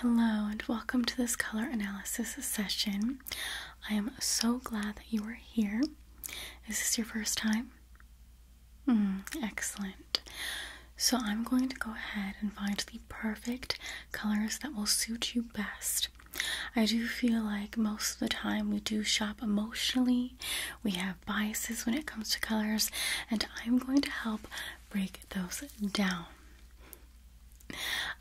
Hello and welcome to this color analysis session. I am so glad that you are here. Is this your first time? Hmm, excellent. So I'm going to go ahead and find the perfect colors that will suit you best. I do feel like most of the time we do shop emotionally, we have biases when it comes to colors, and I'm going to help break those down.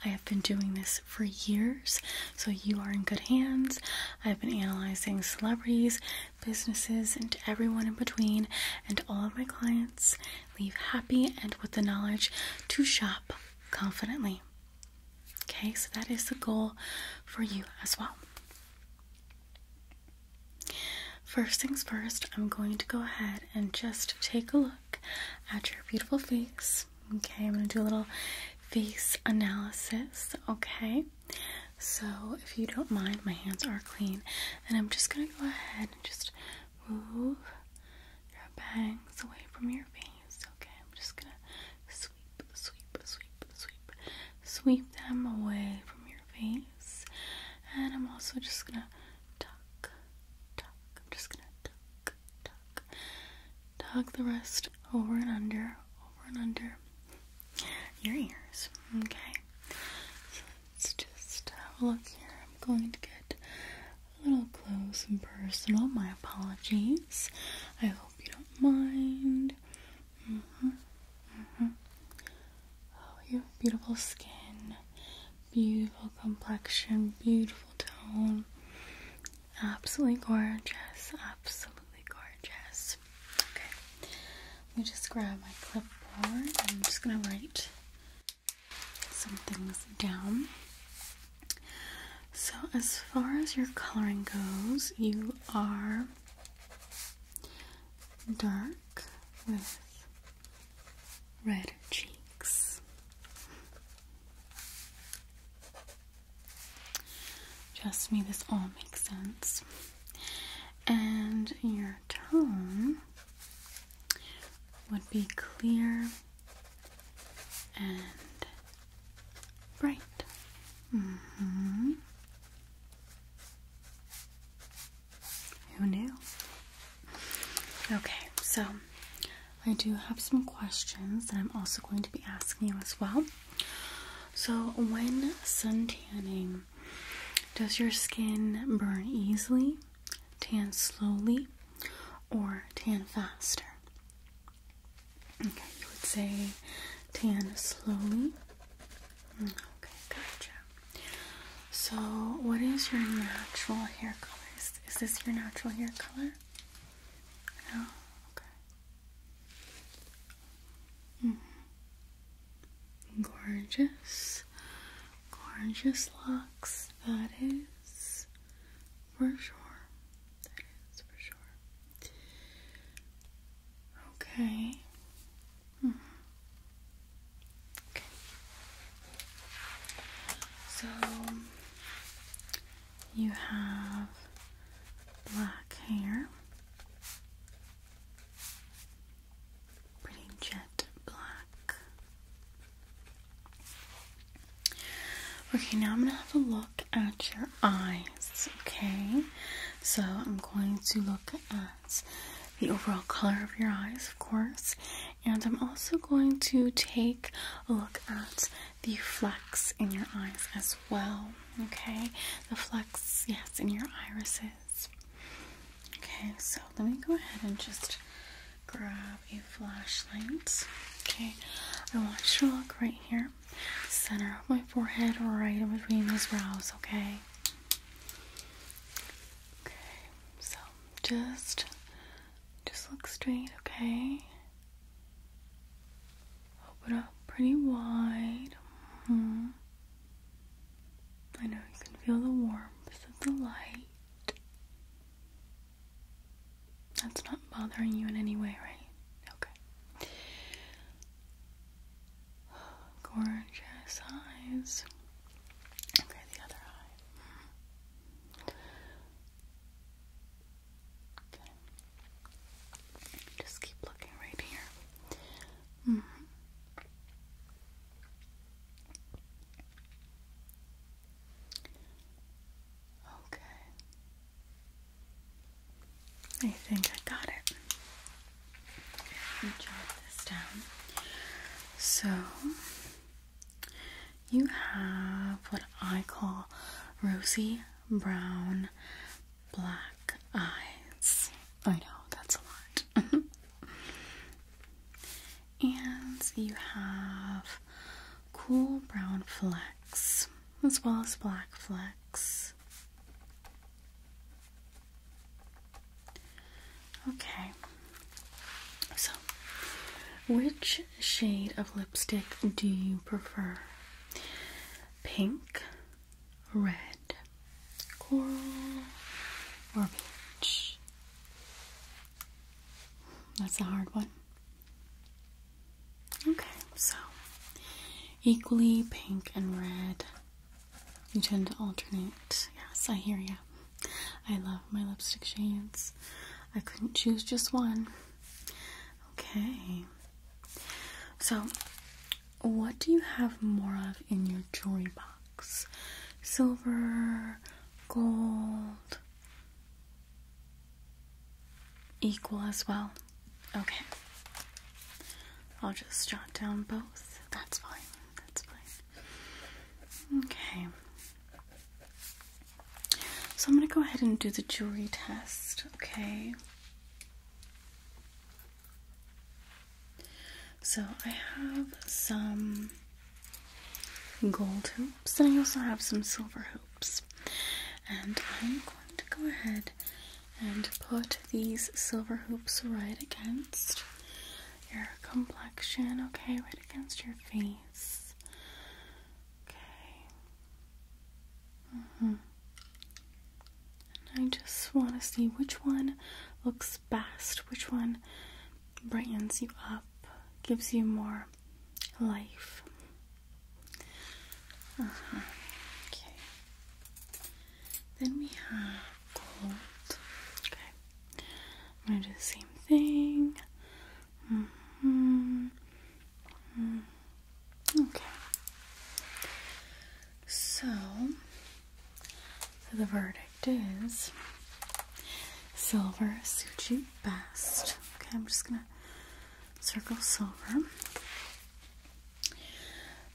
I have been doing this for years, so you are in good hands. I've been analyzing celebrities, businesses, and everyone in between, and all of my clients leave happy and with the knowledge to shop confidently. Okay, so that is the goal for you as well. First things first, I'm going to go ahead and just take a look at your beautiful face. Okay, I'm gonna do a little face analysis. Okay, so if you don't mind, my hands are clean, and I'm just gonna go ahead and just move your bangs away from your face. Okay, I'm just gonna sweep, sweep, sweep, sweep, sweep them away from your face, and I'm also just gonna tuck, tuck, I'm just gonna tuck, tuck, tuck the rest over and under, over and under your ears. Okay, so let's just have a look here. I'm going to get a little close and personal. My apologies. I hope you don't mind. hmm hmm Oh, you beautiful skin. Beautiful complexion, beautiful tone. Absolutely gorgeous, absolutely gorgeous. Okay, let me just grab my clipboard. I'm just gonna write some things down. So, as far as your coloring goes, you are dark red cheeks. Trust me, this all makes sense. And your tone would be clear and bright. hmm. Who knew? Okay, so I do have some questions that I'm also going to be asking you as well. So, when sun tanning, does your skin burn easily, tan slowly, or tan faster? Okay, you would say tan slowly. Mm, okay, gotcha. So, what is your natural hair color? Is, this your natural hair color? No? Okay. Mm-hmm. Gorgeous. Gorgeous locks. That is for sure. That is for sure. Okay. Hmm. So you have black hair, pretty jet black. Okay, now I'm gonna have a look at your eyes. Okay, so I'm going to look at the overall color of your eyes, of course, and I'm also going to take a look at the flex in your eyes as well. Okay, the flex, yes, in your irises. Okay, so let me go ahead and just grab a flashlight. Okay, I want you to look right here, center of my forehead, right in between these brows. Okay. Okay, so just just look straight, okay? Open up pretty wide. Mm-hmm. I know you can feel the warmth of the light. That's not bothering you in any way, right? Okay. Gorgeous eyes. Okay, the other eye. Mm-hmm. Just keep looking right here. Mm-hmm. Okay. I think I got it. Let jot this down. So you have what I call rosy brown black eyes. I know that's a lot. and you have cool brown flecks as well as black flecks. Okay. So, which shade of lipstick do you prefer? Pink, red, coral, or peach? That's a hard one. Okay, so equally pink and red. You tend to alternate. Yes, I hear you. I love my lipstick shades. I couldn't choose just one. Okay. So, what do you have more of in your jewelry box? Silver, gold, equal as well? Okay. I'll just jot down both. That's fine. That's fine. Okay. So I'm going to go ahead and do the jewelry test, okay? So I have some gold hoops and I also have some silver hoops. And I'm going to go ahead and put these silver hoops right against your complexion, okay, right against your face. Okay. hmm I just want to see which one looks best, which one brightens you up, gives you more life. Uh -huh. Okay. Then we have gold. Okay. I'm gonna do the same thing. -hmm. Okay. So, so the verdict is silver suits you best. Okay, I'm just gonna circle silver.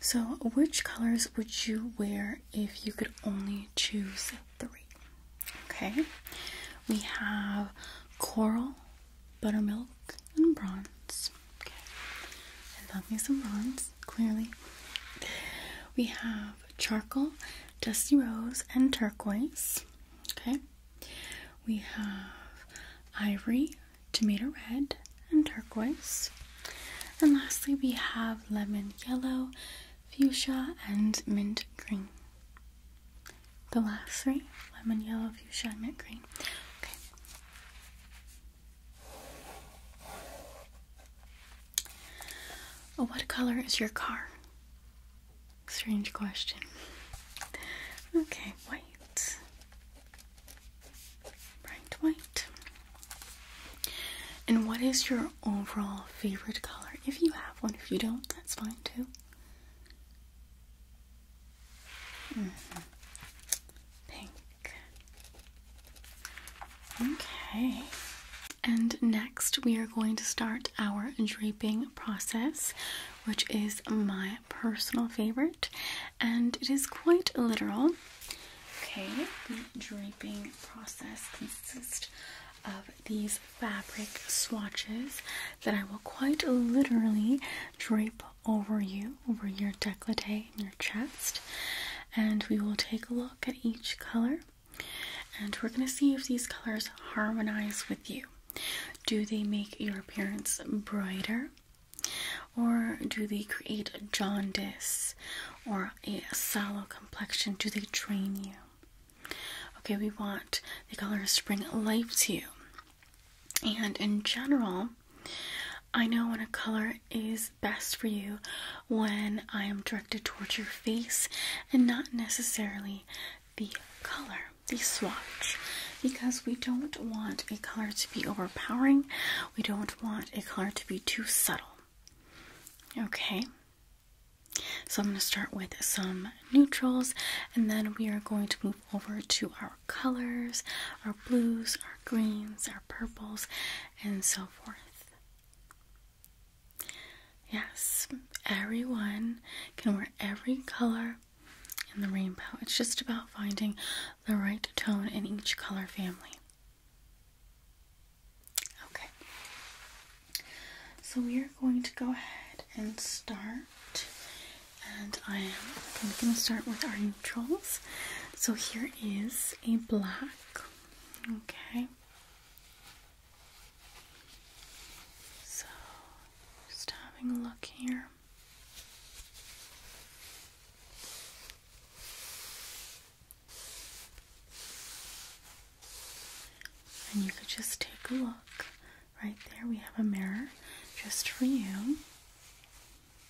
So, which colors would you wear if you could only choose three. Okay, we have coral, buttermilk, and bronze. Okay, and love me some bronze, clearly. We have charcoal, dusty rose, and turquoise. Okay, we have ivory, tomato red, and turquoise. And lastly, we have lemon yellow, fuchsia, and mint green. The last three lemon yellow, fuchsia, mint green. Okay. what color is your car? Strange question. Okay, white. Bright white. And what is your overall favorite color? If you have one, if you don't, that's fine going mm-hmm. Pink. Okay. And next, we are going to start our draping process, which is my personal favorite, and it is quite literal. Okay, the draping process consists of these fabric swatches that I will quite literally drape over you, over your decollete and your chest. And we will take a look at each color and we're going to see if these colors harmonize with you. Do they make your appearance brighter? Or do they create jaundice or a sallow complexion? Do they drain you? Okay, we want the colors to bring life to you. And in general, I know when a color is best for you when I am directed towards your face and not necessarily the color, the swatch, because we don't want a color to be overpowering, we don't want a color to be too subtle. Okay, so I'm going to start with some neutrals and then we are going to move over to our colors, our blues, our greens, our purples, and so forth. Yes, everyone can wear every color in the rainbow. It's just about finding the right tone in each color family. Okay, so we are going to go ahead and start. And I am going to start with our neutrals. So here is a black. Okay. So just having a look here. And you could just take a look. Right there, we have a mirror just for you.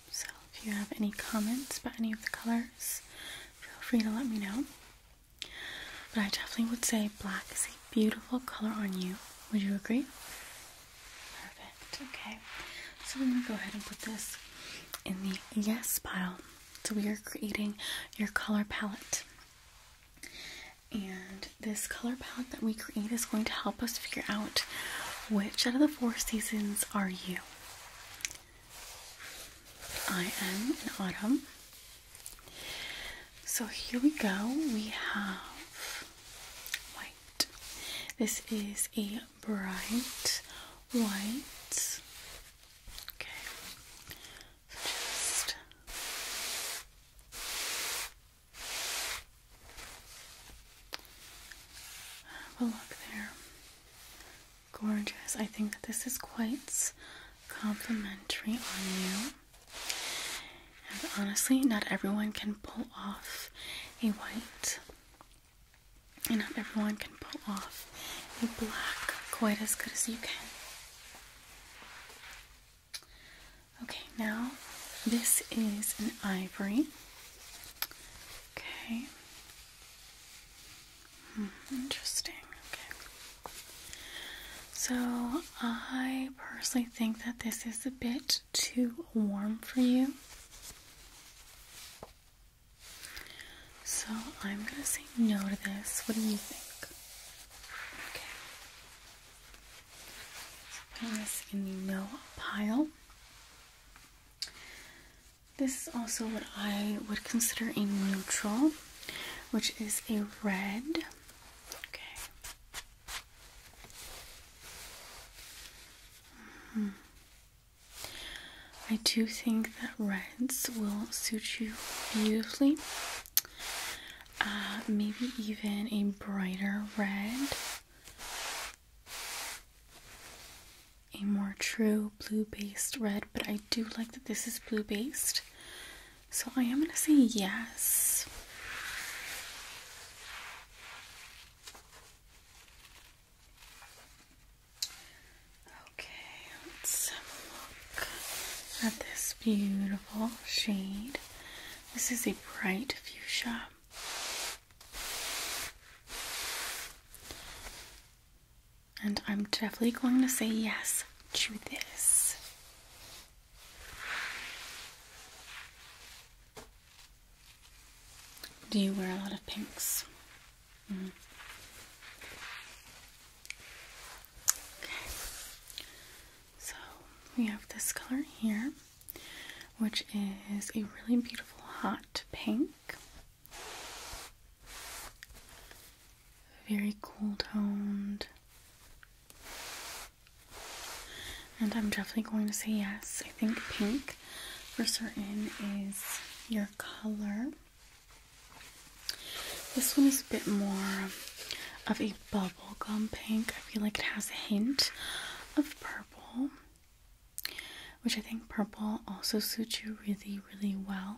So, if you have any comments about any of the colors, feel free to let me know. But I definitely would say black is a beautiful color on you. Would you agree? Perfect. Okay. So, I'm going to go ahead and put this in the yes pile. So, we are creating your color palette. And this color palette that we create is going to help us figure out which out of the four seasons are you. I am in autumn. So here we go. We have white. This is a bright white. Okay. Just oh, look there. Gorgeous. I think that this is quite complimentary on you. And honestly, not everyone can pull off a white, and not everyone can pull off a black quite as good as you can. Okay, now this is an ivory. Okay. Hmm, interesting. Okay. So I personally think that this is a bit too warm for you. So I'm gonna say no to this. What do you think? this in no pile. This is also what I would consider a neutral, which is a red. Okay. Hmm. I do think that reds will suit you beautifully. Uh, maybe even a brighter red, a more true blue based red. But I do like that this is blue based, so I am going to say yes. Okay, at this beautiful shade. This is a bright fuchsia. And I'm definitely going to say yes to this. Do you wear a lot of pinks? Mm. Okay, so we have this color here, which is a really beautiful hot pink. Very cool toned. And I'm definitely going to say yes. I think pink for certain is your color. This one is a bit more of a bubble bubblegum pink. I feel like it has a hint of purple, which I think purple also suits you really, really well.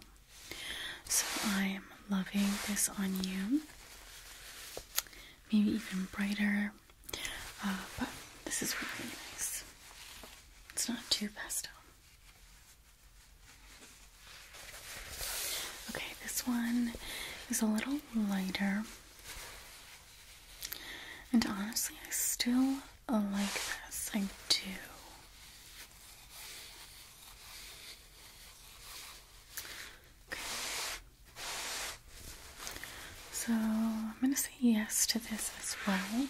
So I am loving this on you. Maybe even brighter, uh, but this is really nice. It's not too pastel. Okay, this one is a little lighter. And honestly, I still like this. I do. Okay. So I'm going to say yes to this as well.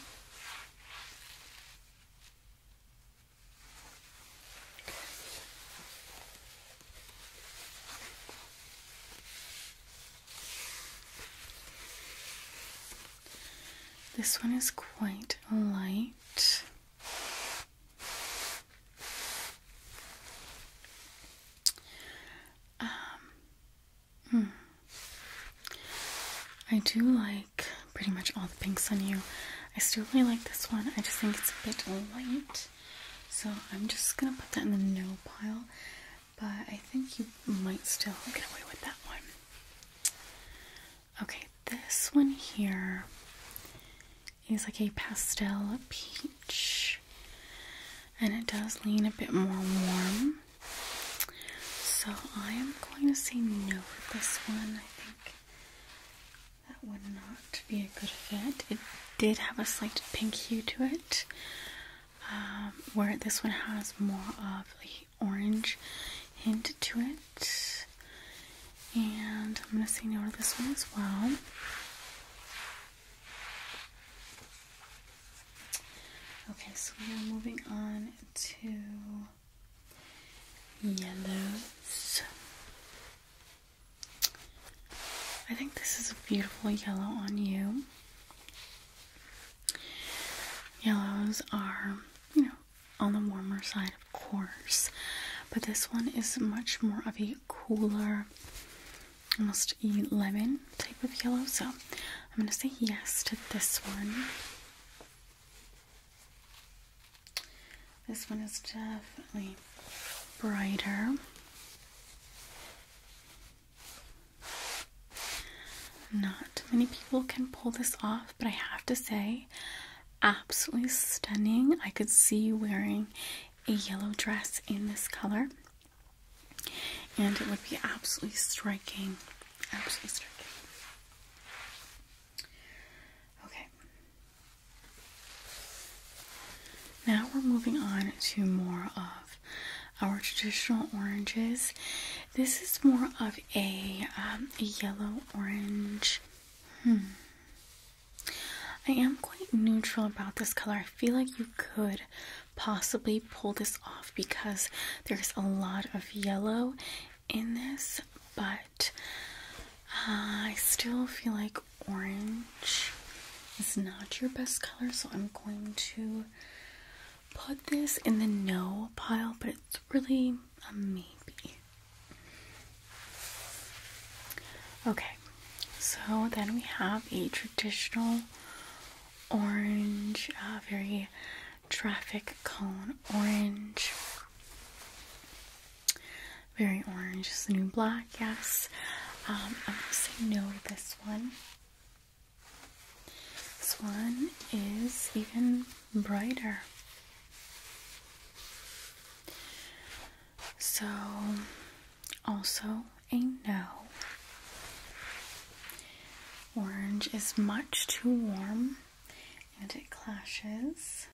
This one is quite light. Um, hmm. I do like pretty much all the pinks on you. I still really like this one. I just think it's a bit light. So I'm just gonna put that in the no pile, but I think you might still get away with that one. Okay, this one here is like a pastel peach, and it does lean a bit more warm. So I am going to say no for this one. I think that would not be a good fit. It did have a slight pink hue to it, um, where this one has more of the orange hint to it. And I'm going to say no to this one as well. Okay, so we're moving on to yellows. I think this is a beautiful yellow on you. Yellows are, you know, on the warmer side, of course, but this one is much more of a cooler, almost a lemon type of yellow. So I'm going to say yes to this one. This one is definitely brighter. Not many people can pull this off, but I have to say, absolutely stunning. I could see you wearing a yellow dress in this color, and it would be absolutely striking. Absolutely striking. Okay, now we're moving on to more of our traditional oranges. This is more of a, um, yellow orange. Hmm. I am quite neutral about this color. I feel like you could possibly pull this off because there's a lot of yellow in this, but uh, I still feel like orange is not your best color, so I'm going to put this in the no pile, but it's really a maybe. Okay, so then we have a traditional orange, uh, very traffic cone orange. Very orange is the new black, yes. Um, I'm gonna say no to this one. This one is even brighter. So, also a no. Orange is much too warm and it clashes.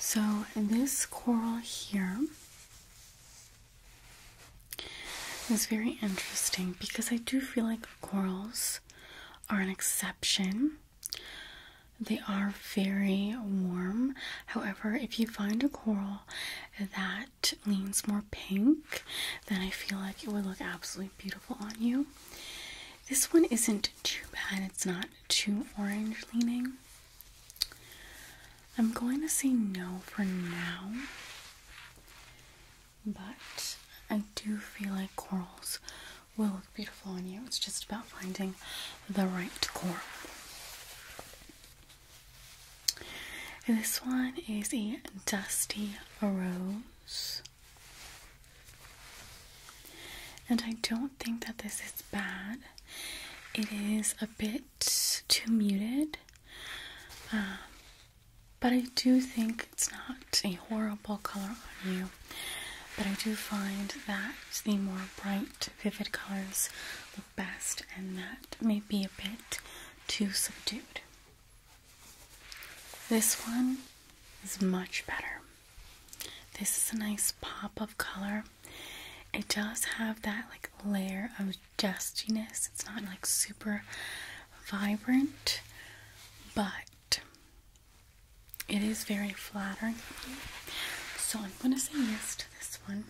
So, this coral here it's very interesting because I do feel like corals are an exception. They are very warm. However, if you find a coral that leans more pink, then I feel like it would look absolutely beautiful on you. This one isn't too bad, it's not too orange leaning. I'm going to say no for now, but I do feel like corals will look beautiful on you. It's just about finding the right coral. This one is a dusty rose. And I don't think that this is bad. It is a bit bit too muted. Um, but I do think it's not a horrible color on you. But I do find that the more bright, vivid colors look best, and that may be a bit too subdued. This one is much better. This is a nice pop of color it does have that like layer of dustiness. It's not like super vibrant, but it is very flattering. So I'm gonna say yes to this one.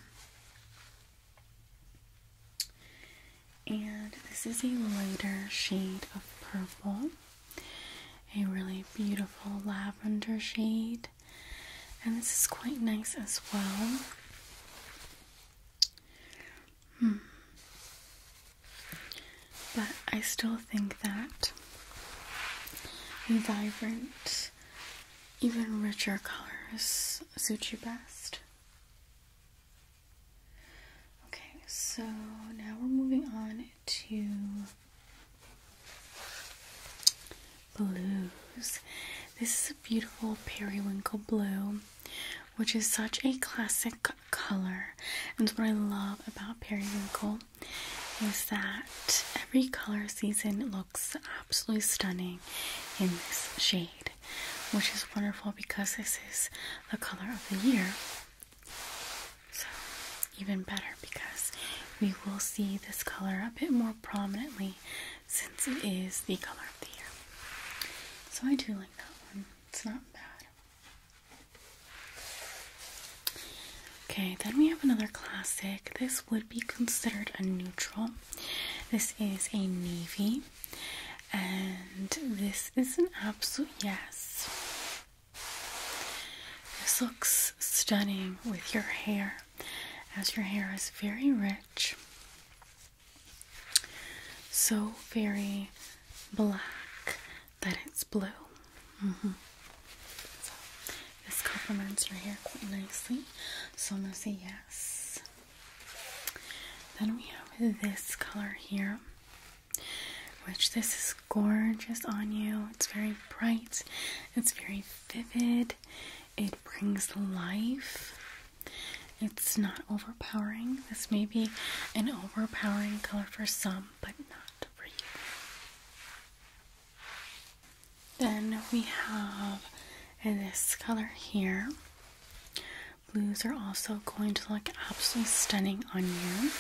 And this is a lighter shade of purple, a really beautiful lavender shade and this is quite nice as well. Hmm. But I still think that vibrant, even richer colors suit you best. Okay, so now we're moving on to blues. This is a beautiful periwinkle blue, which is such a classic color. And what I love about periwinkle is that every color season looks absolutely stunning in this shade, which is wonderful because this is the color of the year. So, even better because we will see this color a bit more prominently since it is the color of the year. So I do like that one. It's not bad. Okay, then we have another classic. This would be considered a neutral. This is a navy, and this is an absolute yes. This looks stunning with your hair as your hair is very rich, so very black that it's blue. Mm-hmm. this complements your hair quite nicely. So I'm gonna say yes. Then we have this color here, which this is gorgeous on you. It's very bright, it's very vivid, it brings life. It's not overpowering. This may be an overpowering color for some, but not for you. Then we have this color here. Blues are also going to look absolutely stunning on you.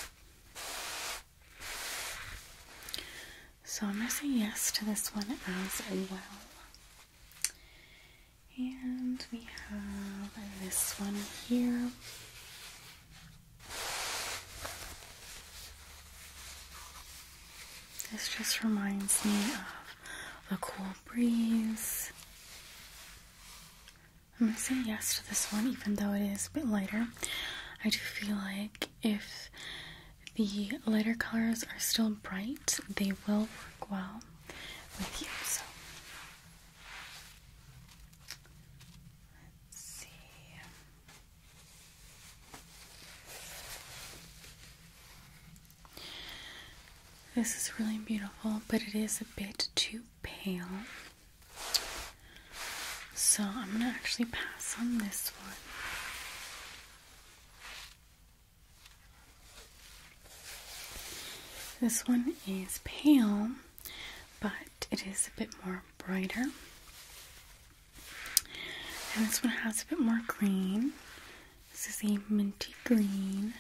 So I'm going to say yes to this one as well. And we have this one here. This just reminds me of the cool breeze. I'm gonna say yes to this one, even though it is a bit lighter. I do feel like if the lighter colors are still bright, they will work well with you. So let's see. This is really beautiful, but it is a bit too pale. So I'm going to actually pass on this one. This one is pale, but it is a bit more brighter. And this one has a bit more green. This is a minty green,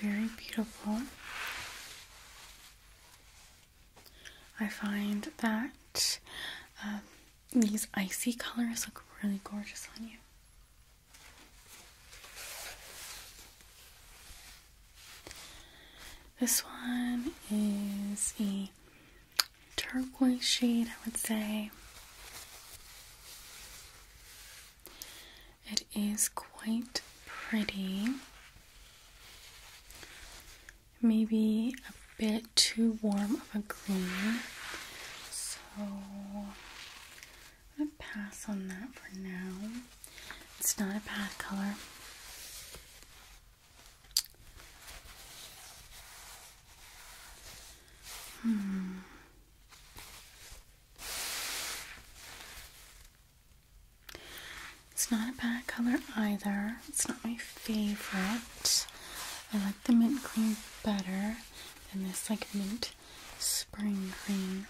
very beautiful. I find that um, these icy colors look really gorgeous on you. This one is a turquoise shade, I would say. It is quite pretty. Maybe a bit too warm of a green. I'm gonna pass on that for now. It's not a bad color. Hmm. It's not a bad color either. It's not my favorite. I like the mint green better than this like mint spring green,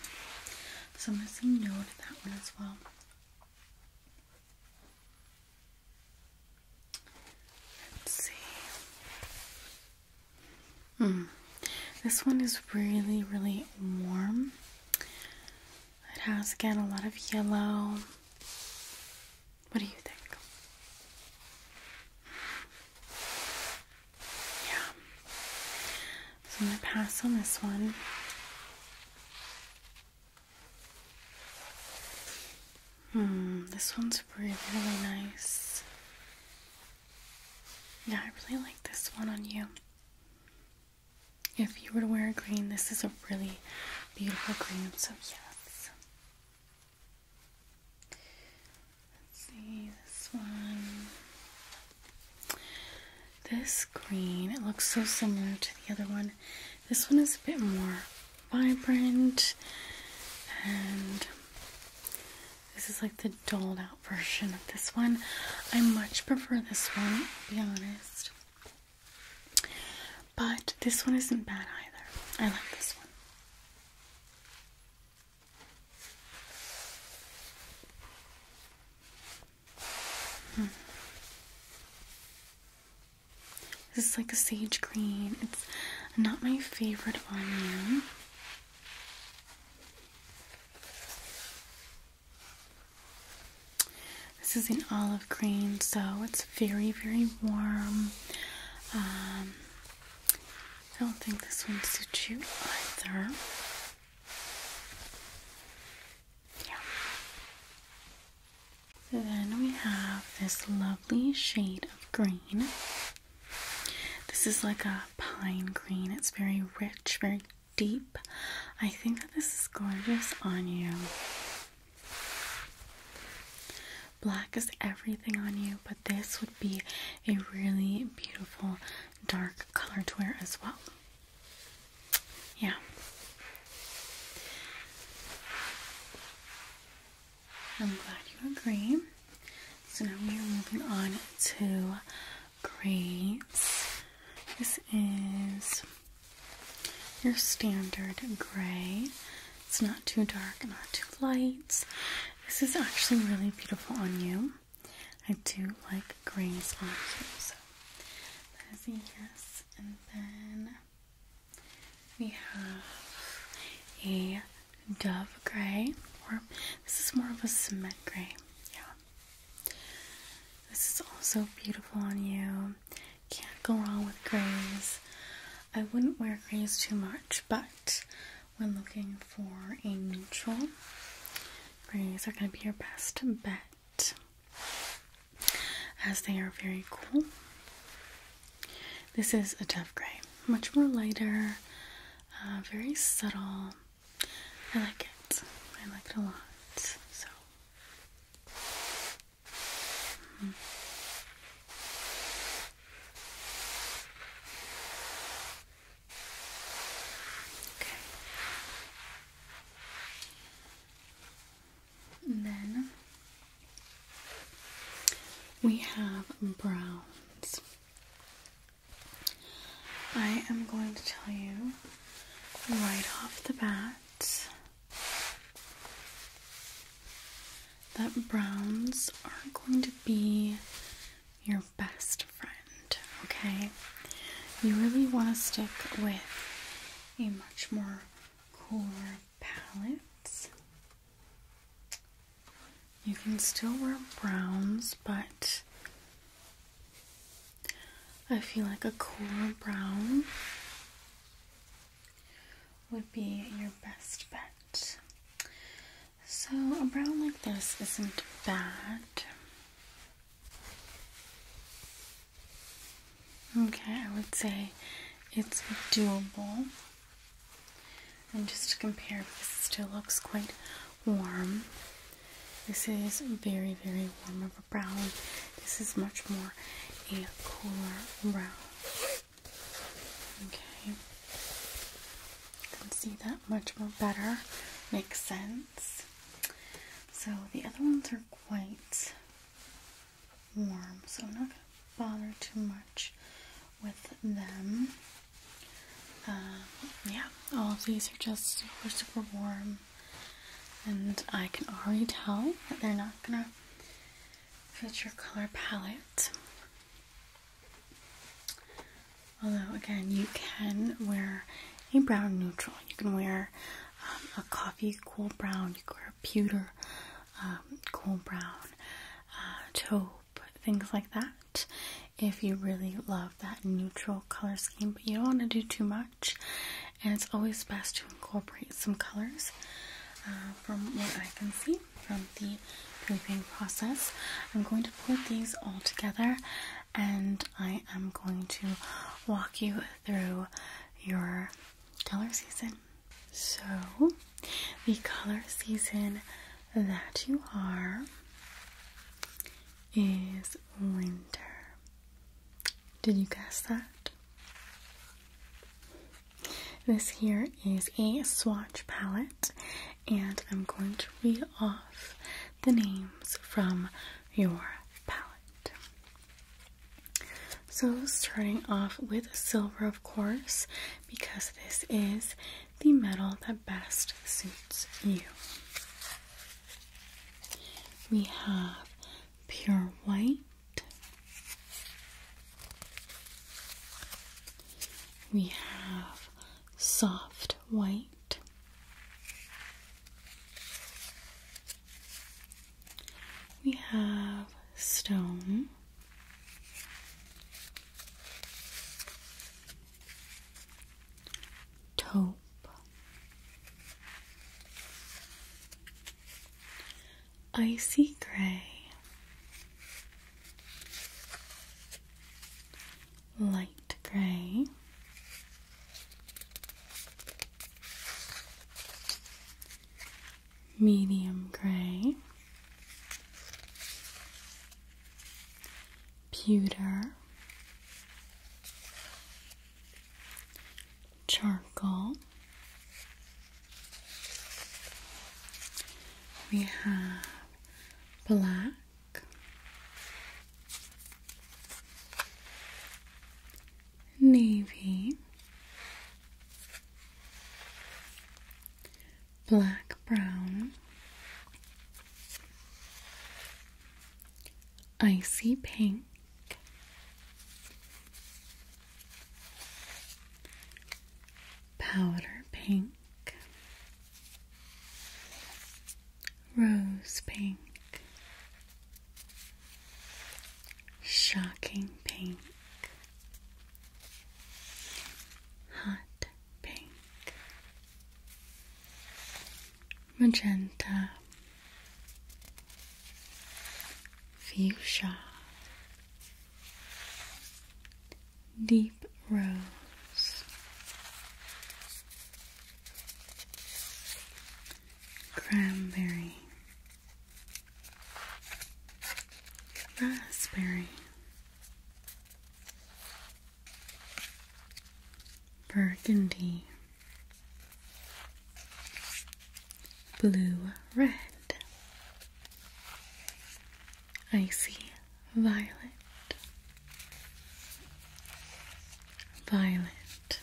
So I'm gonna say no to that one as well. Let's see. Hmm. This one is really, really warm. It has again a lot of yellow. What do you think? Yeah. So I'm going to pass on this one. Hmm, this one's really, really nice. Yeah, I really like this one on you. If you were to wear green, this is a really beautiful green, so yes. Let's see this one. This green, it looks so similar to the other one. This one is a bit more vibrant, and this is like the doled out version of this one. I much prefer this one, be honest. But this one isn't bad either. I like this one. Hmm. This is like a sage green. It's not my favorite on you. This is an olive green, so it's very, very warm. Um, I don't think this one suits you either. Yeah. then we have this lovely shade of green. This is like a pine green. It's very rich, very deep. I think that this is gorgeous on you. Black is everything on you, but this would be a really beautiful dark color to wear as well. Yeah. I'm glad you agree. So now we are moving on to grays. This is your standard gray. It's not too dark, not too light. This is actually really beautiful on you. I do like grays on you, so that is a yes. And then we have a dove gray, or this is more of a cement gray. Yeah. This is also beautiful on you. Can't go wrong with grays. I wouldn't wear grays too much, but when looking for a neutral. Grays are going to be your best bet as they are very cool. This is a tough gray, much more lighter, uh, very subtle. I like it. I like it a lot. So. Mm-hmm. Okay. And then we have browns. I am going to tell you right off the bat that browns are going to be your best friend, okay? You really want to stick with a much more cooler palette. You can still wear browns, but I feel like a cooler brown would be your best bet. So, a brown like this isn't bad. Okay, I would say it's doable. And just to compare, because it still looks quite warm. This is very, very warm of a brown. This is much more a cooler brown. Okay. You can see that much more better. Makes sense. So the other ones are quite warm, so I'm not going to bother too much with them. Um, yeah, all of these are just super, super warm. And I can already tell that they're not going to fit your color palette. Although, again, you can wear a brown neutral. You can wear um, a coffee cool brown. You can wear a pewter um, cool brown, uh, taupe, things like that. If you really love that neutral color scheme, but you don't want to do too much, and it's always best to incorporate some colors. Uh, from what I can see, from the prepping process. I'm going to put these all together and I am going to walk you through your color season. So, the color season that you are is winter. Did you guess that? This here is a swatch palette and I'm going to read off the names from your palette. So, starting off with silver, of course, because this is the metal that best suits you. We have pure white. We have soft white. We have stone. Taupe. Icy gray, light gray, medium gray, pewter, charcoal. We have black navy, black brown, icy pink, powder pink, Rose pink, shocking pink, hot pink, magenta, fuchsia, deep rose, cranberry, raspberry, burgundy, blue red icy violet, violet,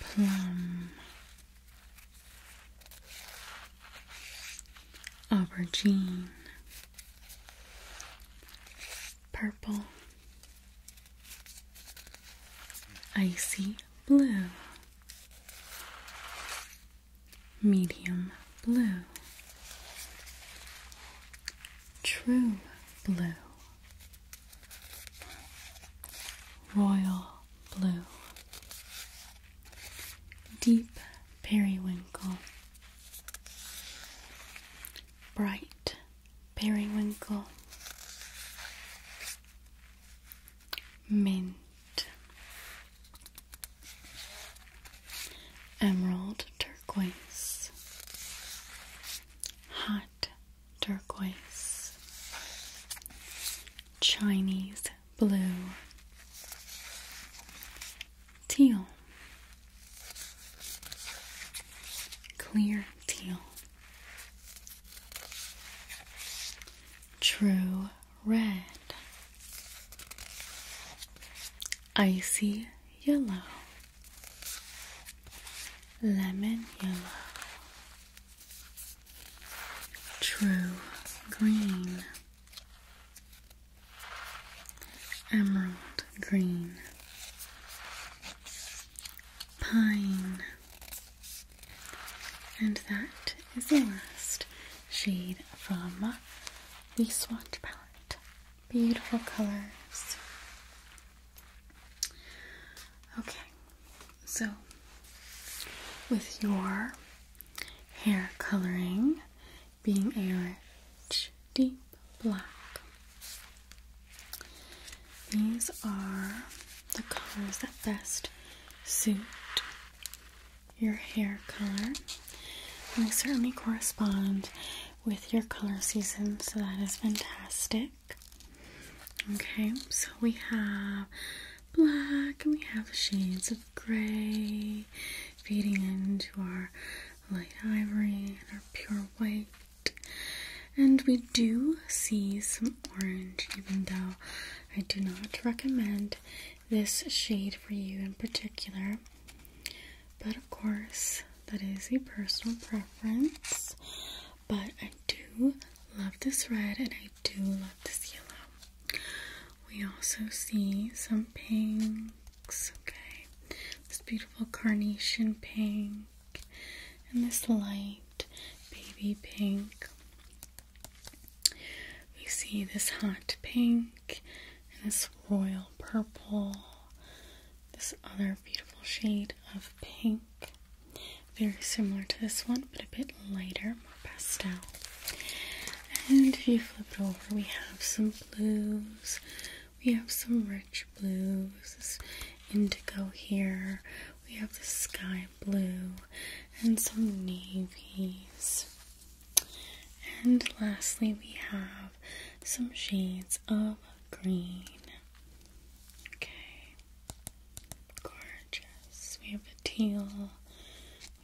plum, aubergine, purple, icy blue medium blue, true blue, royal blue, deep periwinkle, bright periwinkle, mint, emerald turquoise, hot turquoise, Chinese blue, teal, clear teal, true red, icy yellow, lemon yellow, true green, emerald green, pine. And that is the last shade from the swatch palette. Beautiful colors. Okay, so with your hair coloring being a rich, deep black, these are the colors that best suit your hair color. And they certainly correspond with your color season, so that is fantastic. Okay, so we have black and we have shades of gray fading into our light ivory and our pure white. And we do see some orange, even though I do not recommend this shade for you in particular. But of course, that is a personal preference. But I do love this red and I do love this yellow. We also see some pinks, okay? This beautiful carnation pink and this light baby pink. We see this hot pink and this royal purple, this other beautiful shade of pink, very similar to this one, but a bit lighter, more pastel. And if you flip it over, we have some blues, we have some rich blues, this indigo here, we have the sky blue, and some navies. And lastly, we have some shades of green. Okay, gorgeous. We have a teal,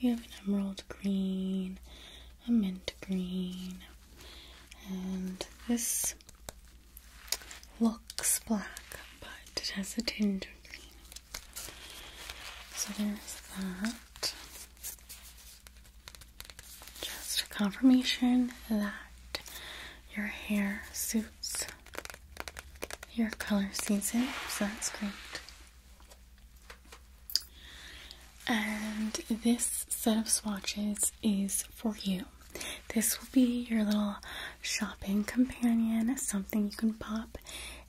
we have an emerald green, a mint green, and this looks black, but it has a tinge of green. So there's that. Just a confirmation that your hair suits your color season, so that's great. And this set of swatches is for you. This will be your little shopping companion, something you can pop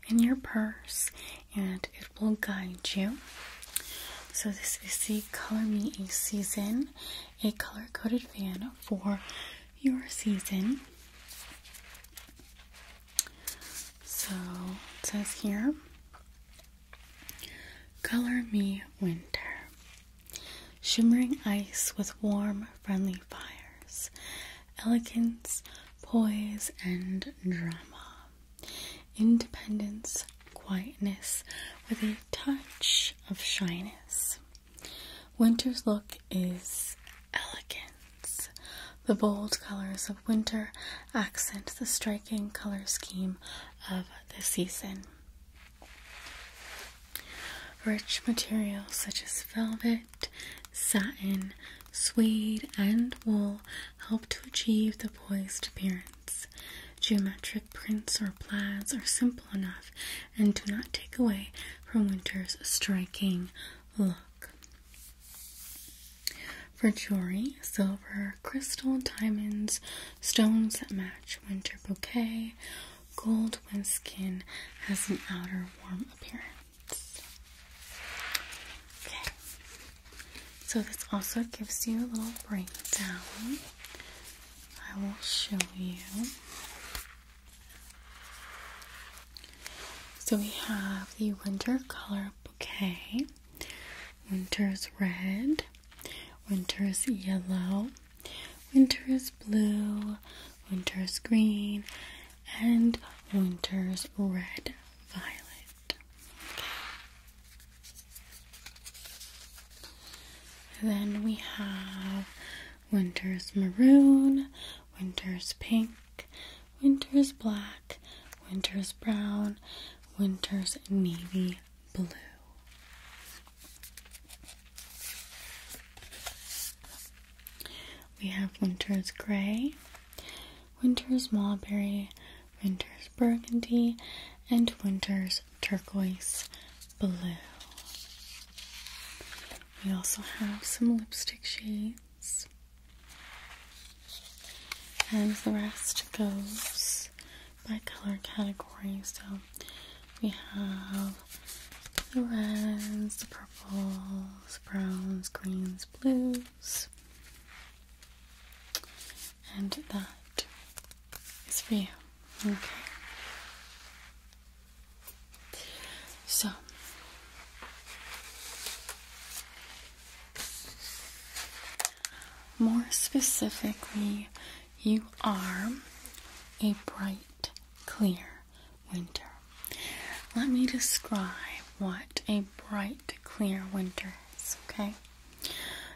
in your purse and it will guide you. So, this is the Color Me a Season, a color coded fan for your season. So, it says here Color Me Winter. Shimmering ice with warm, friendly fires, elegance, poise, and drama. Independence, quietness, with a touch of shyness. Winter's look is elegance. The bold colors of winter accent the striking color scheme of the season. Rich materials such as velvet, satin, suede, and wool help to achieve the poised appearance. Geometric prints or plaids are simple enough and do not take away from winter's striking look. For jewelry, silver, crystal, diamonds, stones that match winter bouquet, gold when skin has an outer warm appearance. So this also gives you a little breakdown. I will show you. So we have the winter color bouquet. Winter is red, winter is yellow, winter is blue, winter is green, and winter is red violet then we have winter's maroon, winter's pink, winter's black, winter's brown, winter's navy blue. We have winter's gray, winter's mulberry, winter's burgundy, and winter's turquoise blue. We also have some lipstick shades. And the rest goes by color category. So we have the reds, the purples, browns, greens, blues, and that is for you. Okay. So more specifically, you are a bright, clear winter. Let me describe what a bright, clear winter is, okay?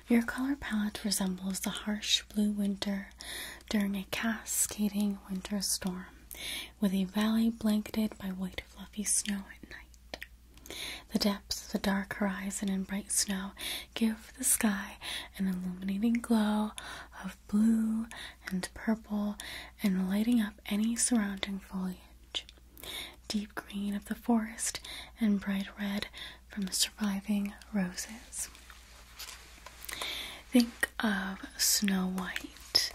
Your color palette resembles the harsh blue winter during a cascading winter storm, with a valley blanketed by white fluffy snow at night. The depths of the dark horizon and bright snow give the sky an illuminating glow of blue and purple and lighting up any surrounding foliage deep green of the forest, and bright red from the surviving roses. Think of Snow White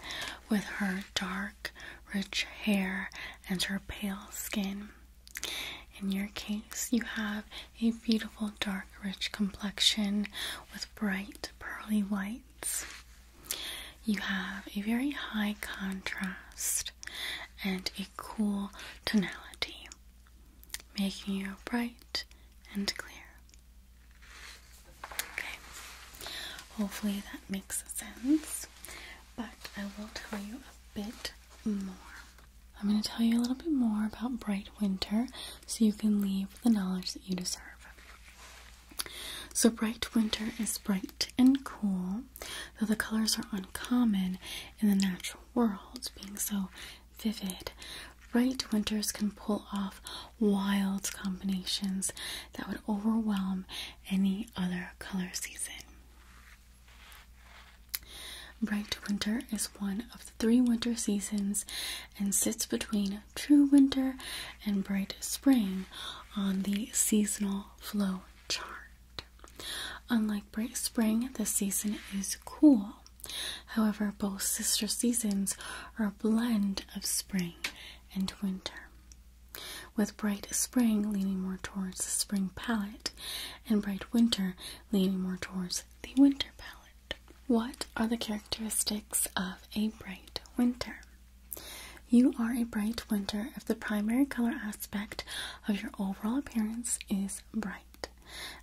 with her dark, rich hair and her pale skin. In your case, you have a beautiful, dark, rich complexion with bright, pearly whites. You have a very high contrast and a cool tonality, making you bright and clear. Okay, hopefully that makes sense, but I will tell you a bit more. I'm going to tell you a little bit more about Bright Winter so you can leave the knowledge that you deserve. So, Bright Winter is bright and cool though the colors are uncommon in the natural world, being so vivid. Bright winters can pull off wild combinations that would overwhelm any other color season. Bright winter is one of the three winter seasons and sits between true winter and bright spring on the seasonal flow chart. Unlike bright spring, the season is cool. However, both sister seasons are a blend of spring and winter, with bright spring leaning more towards the spring palette and bright winter leaning more towards the winter palette. What are the characteristics of a bright winter? You are a bright winter if the primary color aspect of your overall appearance is bright,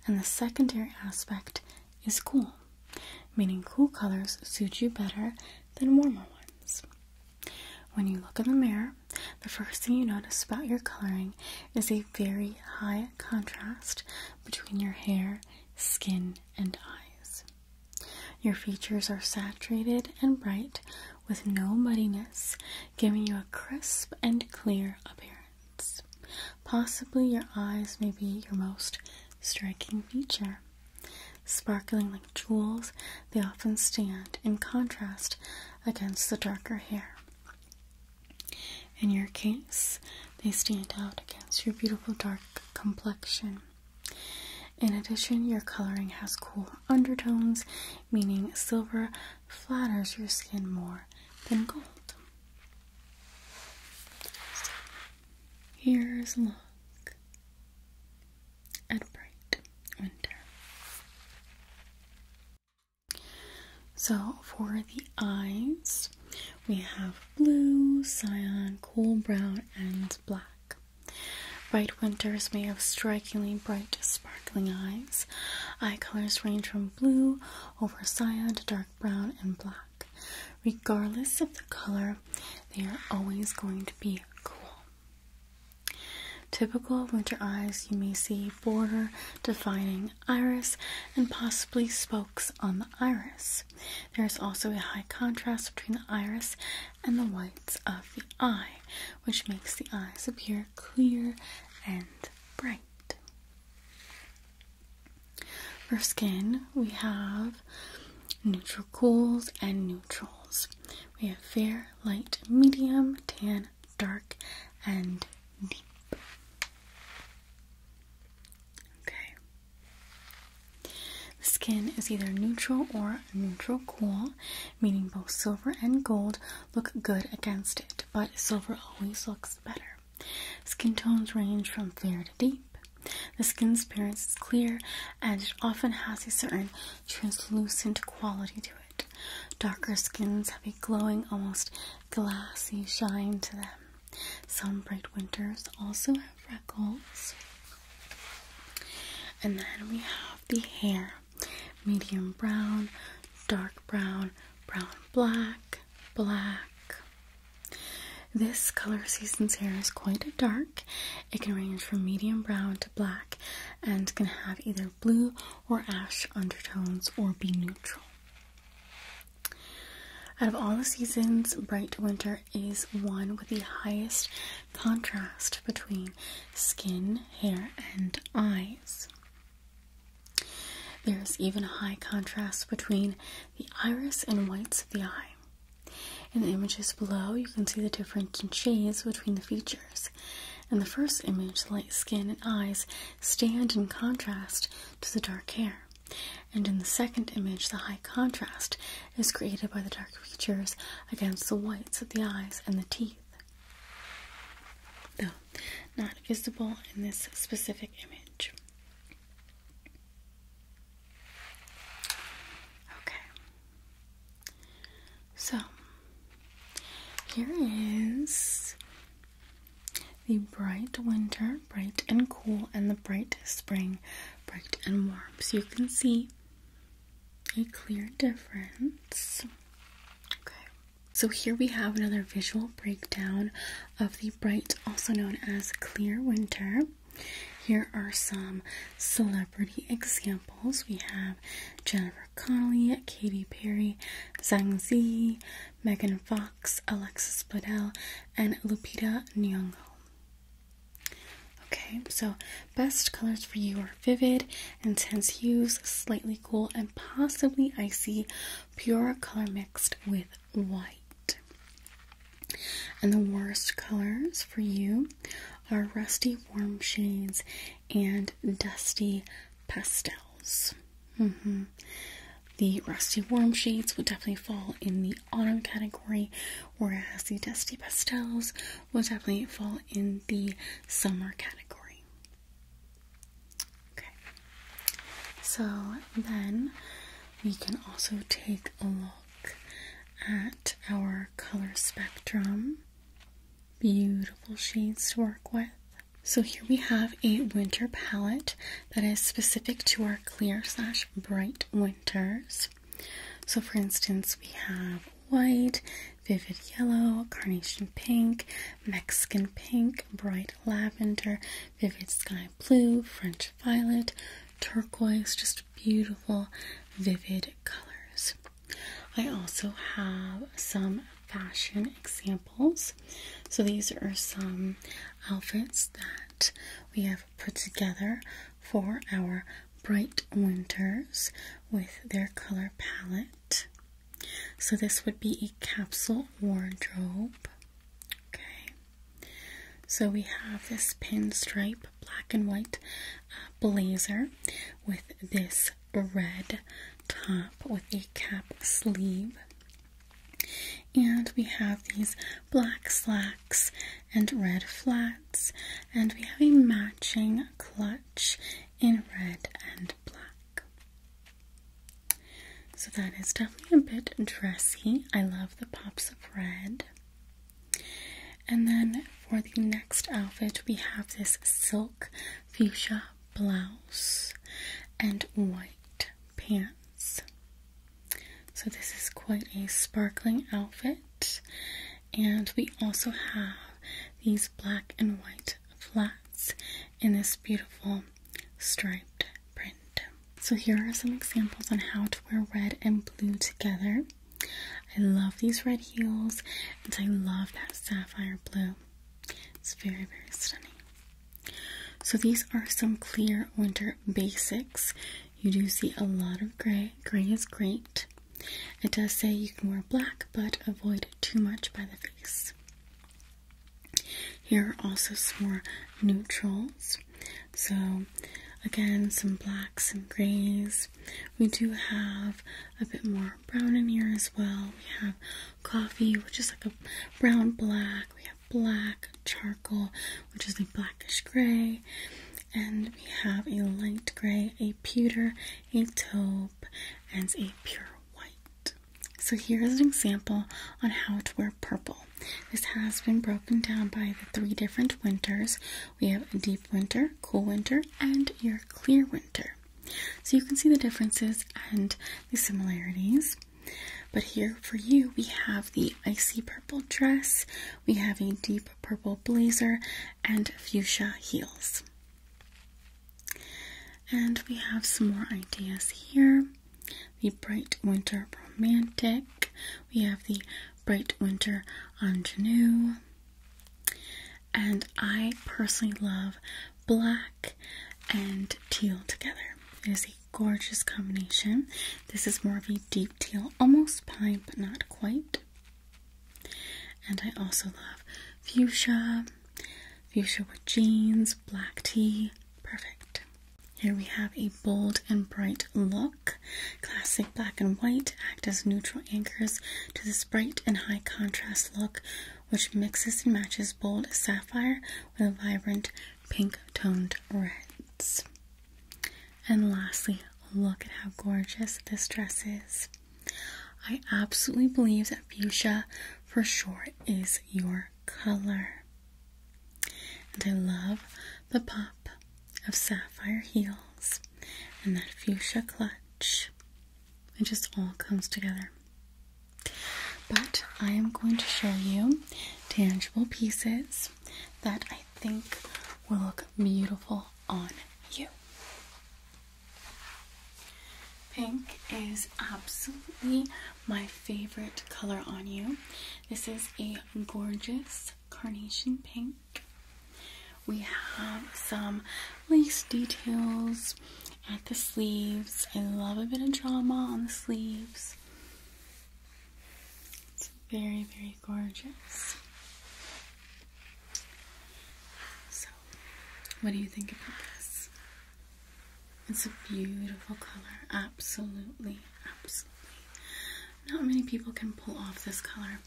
and the secondary aspect is cool, meaning cool colors suit you better than warmer ones. When you look in the mirror, the first thing you notice about your coloring is a very high contrast between your hair, skin, and eyes. Your features are saturated and bright, with no muddiness, giving you a crisp and clear appearance. Possibly your eyes may be your most striking feature. Sparkling like jewels, they often stand in contrast against the darker hair. In your case, they stand out against your beautiful dark complexion. In addition, your coloring has cool undertones, meaning silver flatters your skin more than gold. here's a look at bright winter. So, for the eyes, we have blue, cyan, cool brown, and black. Bright winters may have strikingly bright sparkling eyes. Eye colors range from blue over cyan to dark brown and black. Regardless of the color, they are always going to be cool. Typical winter eyes, you may see border defining iris and possibly spokes on the iris. There is also a high contrast between the iris and the whites of the eye, which makes the eyes appear clear, and bright. For skin, we have neutral cools and neutrals. We have fair, light, medium, tan, dark, and deep. Okay. The skin is either neutral or neutral cool meaning both silver and gold look good against it, but silver always looks better. Skin tones range from fair to deep. The skin's appearance is clear and it often has a certain translucent quality to it. Darker skins have a glowing, almost glassy shine to them. Some bright winters also have freckles. And then we have the hair medium brown, dark brown, brown black, black. This color season's hair is quite dark. It can range from medium brown to black and can have either blue or ash undertones or be neutral. Out of all the seasons, bright winter is one with the highest contrast between skin, hair, and eyes. There is even a high contrast between the iris and whites of the eye. In the images below, you can see the difference in shades between the features. In the first image, the light skin and eyes stand in contrast to the dark hair. And in the second image, the high contrast is created by the dark features against the whites of the eyes and the teeth though not visible in this specific image. Okay, so here is the bright winter, bright and cool, and the bright spring, bright and warm. So you can see a clear difference. Okay. So here we have another visual breakdown of the bright, also known as clear winter. Here are some celebrity examples. We have Jennifer Connelly, Katy Perry, Zhang Zi, Megan Fox, Alexis Bledel, and Lupita Nyong'o. Okay, so best colors for you are vivid, intense hues, slightly cool, and possibly icy, pure color mixed with white. And the worst colors for you are rusty warm shades and dusty pastels. Mm-hmm. The rusty warm shades would definitely fall in the autumn category, whereas the dusty pastels will definitely fall in the summer category. Okay. So then we can also take a look at our color spectrum. Beautiful shades to work with. So here we have a winter palette that is specific to our clear slash bright winters. So for instance, we have white vivid yellow, carnation pink, Mexican pink, bright lavender, vivid sky blue, French violet, turquoise, just beautiful, vivid colors. I also have some fashion examples. So these are some outfits that we have put together for our bright winters with their color palette. So this would be a capsule wardrobe. Okay. So we have this pinstripe black and white uh, blazer with this red top with a cap sleeve. And we have these black slacks and red flats, and we have a matching clutch in red and black. So that is definitely a bit dressy. I love the pops of red. And then for the next outfit, we have this silk fuchsia blouse and white pants. So this is quite a sparkling outfit. And we also have these black and white flats in this beautiful striped print. So here are some examples on how to wear red and blue together. I love these red heels and I love that sapphire blue. It's very, very stunning. So these are some clear winter basics. You do see a lot of gray. Gray is great. It does say you can wear black, but avoid too much by the face. Here are also some more neutrals. So, again, some blacks and grays. We do have a bit more brown in here as well. We have coffee, which is like a brown black. We have black charcoal, which is a blackish gray. And we have a light gray, a pewter, a taupe, and a pure white. So here is an example on how to wear purple. This has been broken down by the three different winters. We have a deep winter, cool winter, and your clear winter. So you can see the differences and the similarities. But here for you, we have the icy purple dress, we have a deep purple blazer, and fuchsia heels. And we have some more ideas here the Bright Winter Romantic, we have the Bright Winter Ingenue, and I personally love black and teal together. It is a gorgeous combination. This is more of a deep teal, almost pine, but not quite. And I also love fuchsia Fuchsia with jeans, black tea, perfect. Here we have a bold and bright look. Classic black and white act as neutral anchors to this bright and high contrast look, which mixes and matches bold sapphire with vibrant pink toned reds. And lastly, look at how gorgeous this dress is. I absolutely believe that fuchsia for sure is your color. And I love the pop of sapphire heels and that fuchsia clutch. It just all comes together. But I am going to show you tangible pieces that I think will look beautiful on you. Pink is absolutely my favorite color on you. This is a gorgeous carnation pink. We have some lace details at the sleeves. I love a bit of drama on the sleeves. It's very, very gorgeous. So, what do you think about this? It's a beautiful color, absolutely, absolutely. Not many people can pull off this color.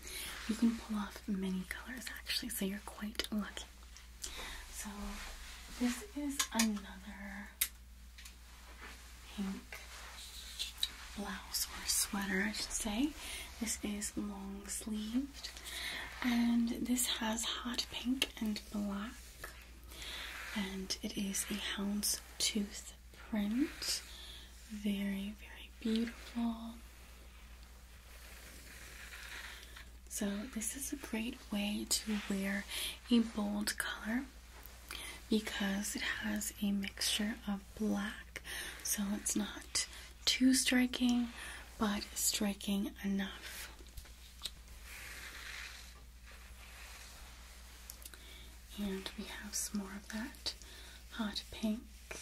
You can pull off many colors actually, so you're quite lucky. So this is another pink blouse or sweater, I should say. This is long sleeved and this has hot pink and black and it is a hound's tooth print. Very, very beautiful. So, this is a great way to wear a bold color because it has a mixture of black, so it's not too striking but striking enough. And we have some more of that hot pink at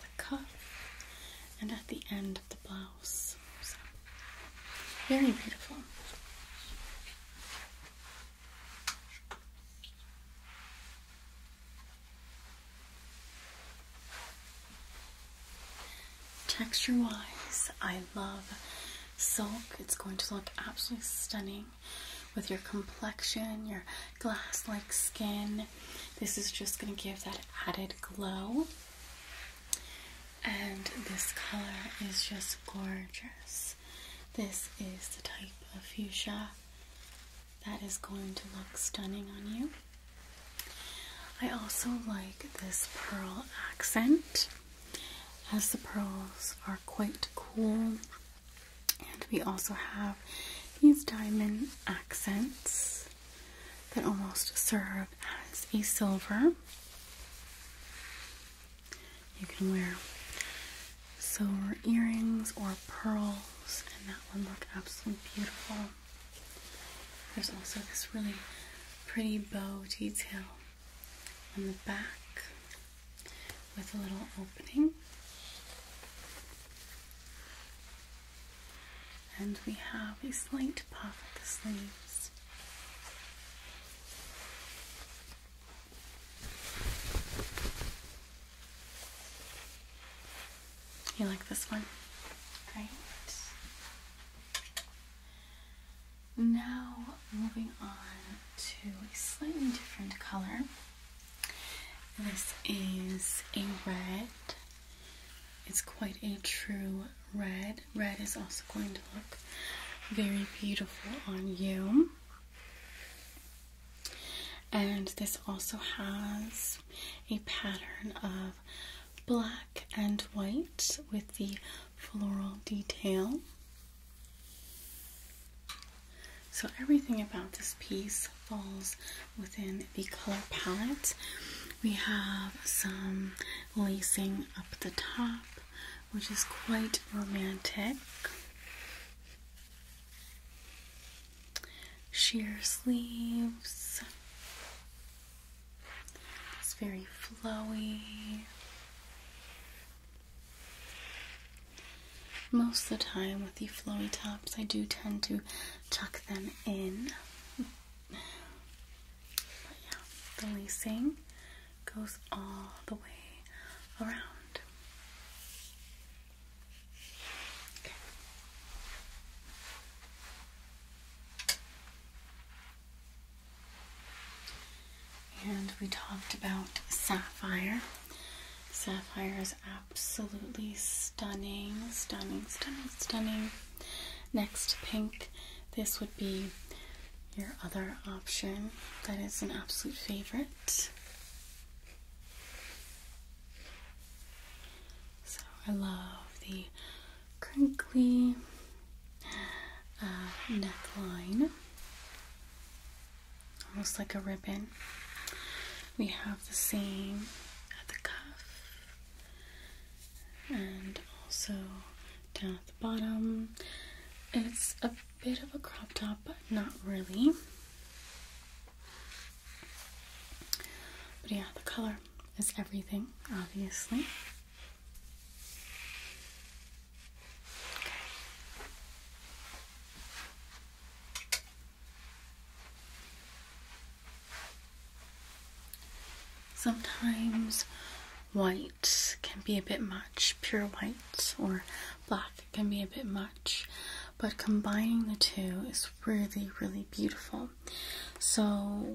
the cuff and at the end of the blouse. very beautiful. Texture wise, I love silk. It's going to look absolutely stunning with your complexion, your glass like skin. This is just going to give that added glow. And this color is just gorgeous. This is the type of fuchsia that is going to look stunning on you. I also like this pearl accent as the pearls are quite cool, and we also have these diamond accents that almost serve as a silver. You can wear silver earrings or pearls, and that would look absolutely beautiful. There's also this really pretty bow detail on the back with a little opening. And we have a slight puff at the sleeves. You like this one? Great. Now, moving on to a slightly different color. This is a red. It's quite a true red. Red is also going to look very beautiful on you. And this also has a pattern of black and white with the floral detail. So, everything about this piece falls within the color palette. We have some lacing up the top, which is quite romantic. Sheer sleeves, it's very flowy. Most of the time with the flowy tops, I do tend to tuck them in. yeah, the lacing goes all the way around. And we talked about sapphire. Sapphire is absolutely stunning, stunning, stunning, stunning. Next, pink. This would be your other option. That is an absolute favorite. So I love the crinkly uh, neckline, almost like a ribbon. We have the same at the cuff and also down at the bottom. It's a bit of a crop top, but not really. But yeah, the color is everything, obviously. Sometimes white can be a bit much, pure white or black can be a bit much, but combining the two is really, really beautiful. So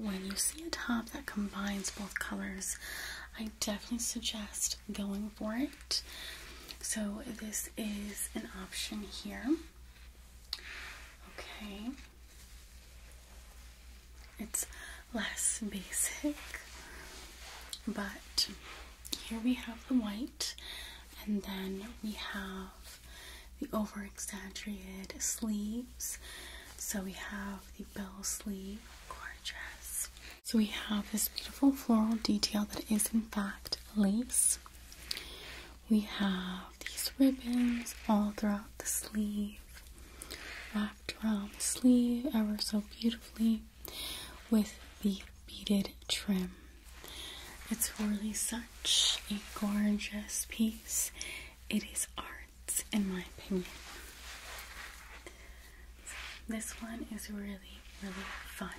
when you see a top that combines both colors, I definitely suggest going for it. So this is an option here. Okay. It's less basic, but here we have the white, and then we have the over exaggerated sleeves. So we have the bell sleeve core dress. So we have this beautiful floral detail that is in fact lace. We have these ribbons all throughout the sleeve, wrapped around the sleeve ever so beautifully with the beaded trim. It's really such a gorgeous piece it is art, in my opinion. this one is really, really fun.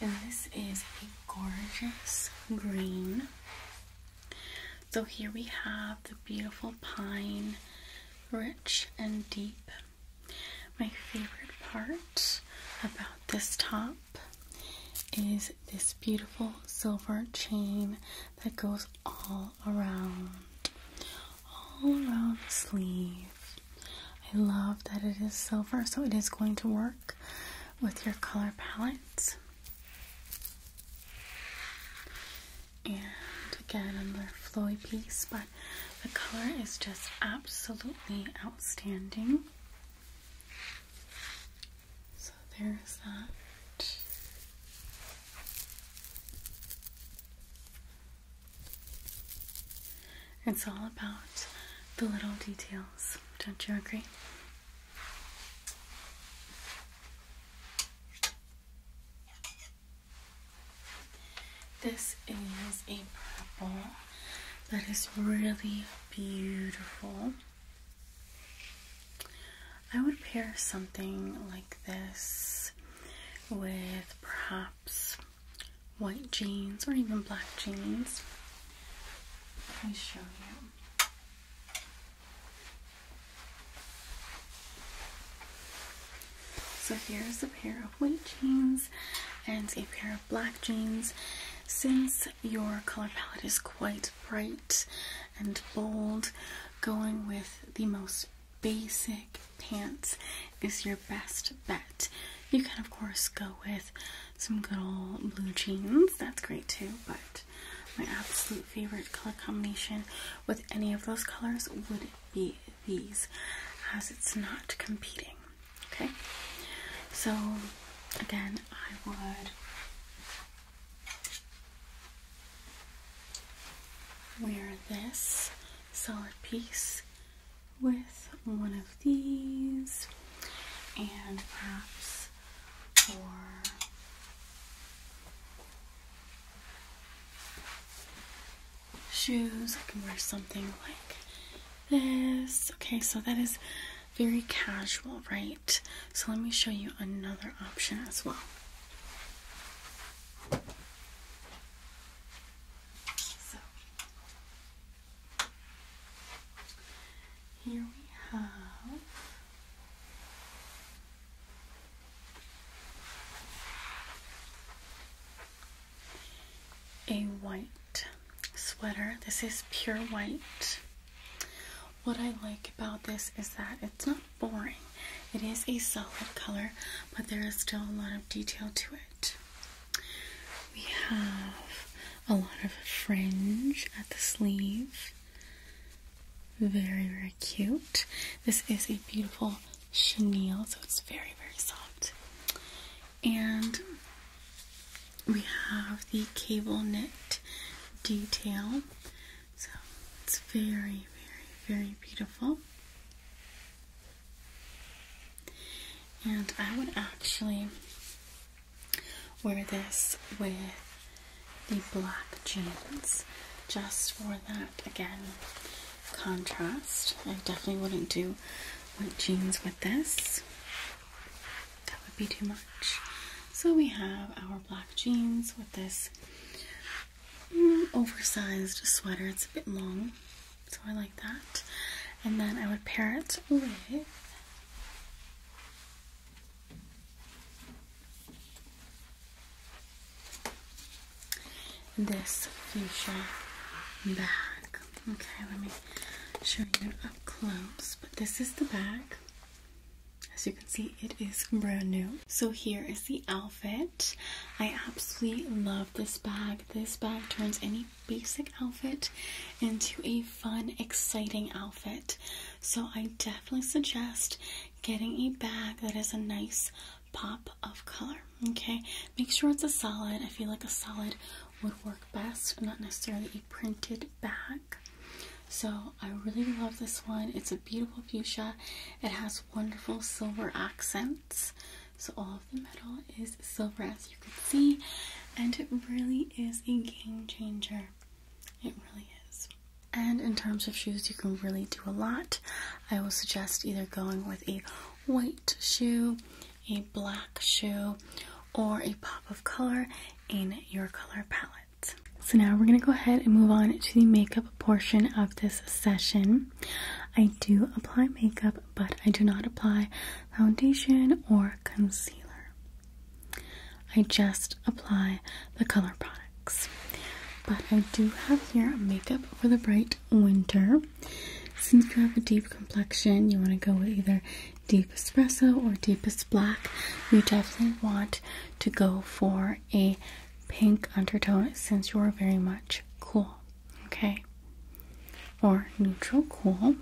And this is a gorgeous green. So here we have the beautiful pine, rich and deep. My favorite part about this top is this beautiful silver chain that goes all around, all around the sleeve. I love that it is silver, so it is going to work with your color palettes. And again, another flowy piece, but the color is just absolutely outstanding. So there's that. It's all about the little details, don't you agree? This is a purple that is really beautiful. I would pair something like this with perhaps white jeans or even black jeans. Let me show you. So here's a pair of white jeans and a pair black jeans. Since your color palette is quite bright and bold, going with the most basic pants is your best bet. You can, of course, go with some good old blue jeans, that's great too, but my absolute favorite color combination with any of those colors would be these, as it's not competing. Okay, so again, I would wear this solid piece with one of these and perhaps or shoes. I can wear something like this. Okay, so that is very casual, right? So let me show you another option as well. So here we have. A white sweater. This is pure white. What I like about this is that it's not boring. It is a solid color, but there is still a lot of detail to it. We have a lot of fringe at the sleeve. Very, very cute. This is a beautiful chenille, so it's very, very soft. And we have the cable knit detail. So it's very, very, very beautiful. And I would actually wear this with the black jeans just for that again contrast. I definitely wouldn't do white jeans with this that would be too much. So we have our black jeans with this mm, oversized sweater. It's a bit long, so I like that. And then I would pair it with this fuchsia bag. Okay, let me show you up close. But this is the back. As you can see, it is brand new. So here is the outfit. I absolutely love this bag. This bag turns any basic outfit into a fun, exciting outfit. So I definitely suggest getting a bag that is a nice pop of color. Okay, make sure it's a solid. I feel like a solid would work best, not necessarily a printed back. So I really love this one. It's a beautiful fuchsia. It has wonderful silver accents. So all of the metal is silver as you can see. And it really is a game changer. It really is. And in terms of shoes, you can really do a lot. I will suggest either going with a white shoe a black shoe or a pop of color in your color palette. So now we're going to go ahead and move on to the makeup portion of this session. I do apply makeup, but I do not apply foundation or concealer. I just apply the color products. But I do have here makeup for the bright winter. Since you have a deep complexion, you want to go with either deep espresso or deepest black, you definitely want to go for a pink undertone since you're very much cool, okay? Or neutral cool.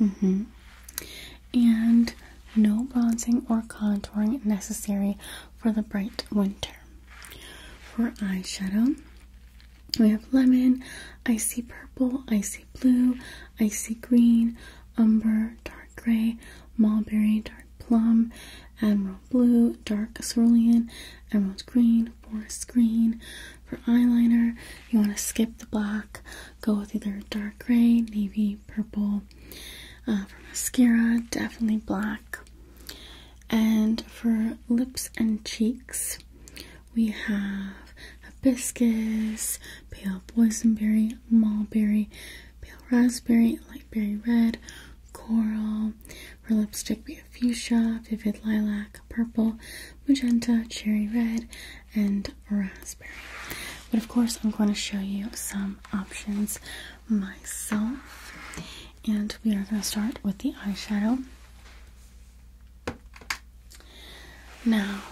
Mm hmm. And no bronzing or contouring necessary for the bright winter. For eyeshadow, we have lemon, icy purple, icy blue, icy green, umber, dark gray, mulberry, dark plum, emerald blue, dark cerulean, emerald green, forest green. For eyeliner, you want to skip the black, go with either dark gray, navy, purple. Uh, for mascara, definitely black. And for lips and cheeks, we have hibiscus, pale boysenberry, mulberry, pale raspberry, light berry red, coral. For lipstick, we have fuchsia, vivid lilac, purple, magenta, cherry red, and raspberry. But of course, I'm going to show you some options myself. And we are going to start with the eyeshadow. Now,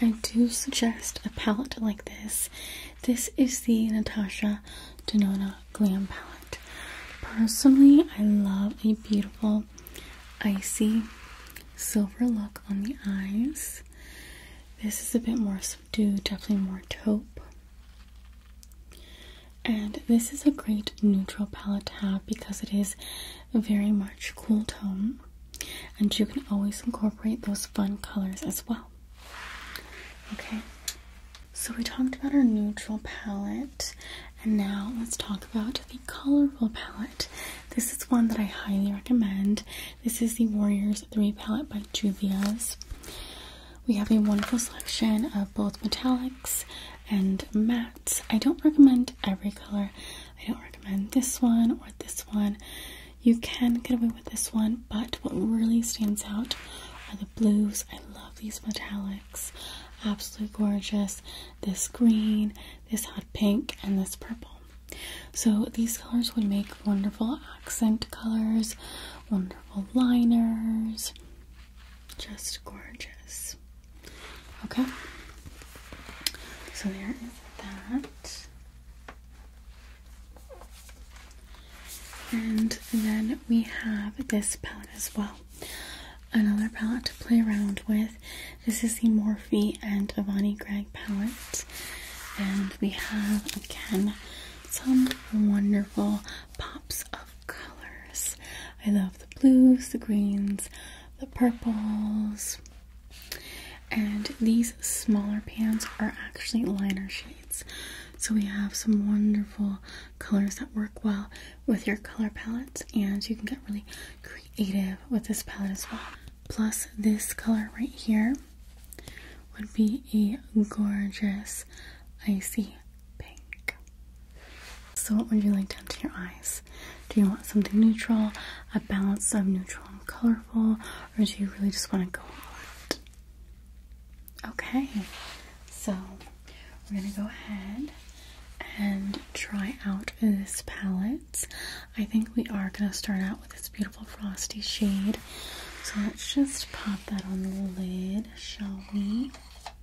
I do suggest a palette like this. This is the Natasha Denona Glam Palette. Personally, I love a beautiful, icy silver look on the eyes. This is a bit more subdued, definitely more taupe and this is a great neutral palette to have because it is very much cool tone and you can always incorporate those fun colors as well okay so we talked about our neutral palette and now let's talk about the colorful palette this is one that i highly recommend this is the warriors 3 palette by juvia's we have a wonderful selection of both metallic and mattes. I don't recommend every color. I don't recommend this one or this one. You can get away with this one, but what really stands out are the blues. I love these metallics. Absolutely gorgeous. This green, this hot pink, and this purple. So these colors would make wonderful accent colors, wonderful liners. Just gorgeous. Okay. So there is that. And then we have this palette as well. Another palette to play around with. This is the Morphe and Avani Gregg palette. And we have again some wonderful pops of colors. I love the blues, the greens, the purples. And these smaller pans are actually liner shades. So we have some wonderful colors that work well with your color palettes and you can get really creative with this palette as well. Plus this color right here would be a gorgeous icy pink. So what would you like done to your eyes? Do you want something neutral, a balance of neutral and colorful, or do you really just want to go all out? Okay, so we're gonna go ahead and try out this palette. I think we are gonna start out with this beautiful frosty shade. So let's just pop that on the lid, shall we?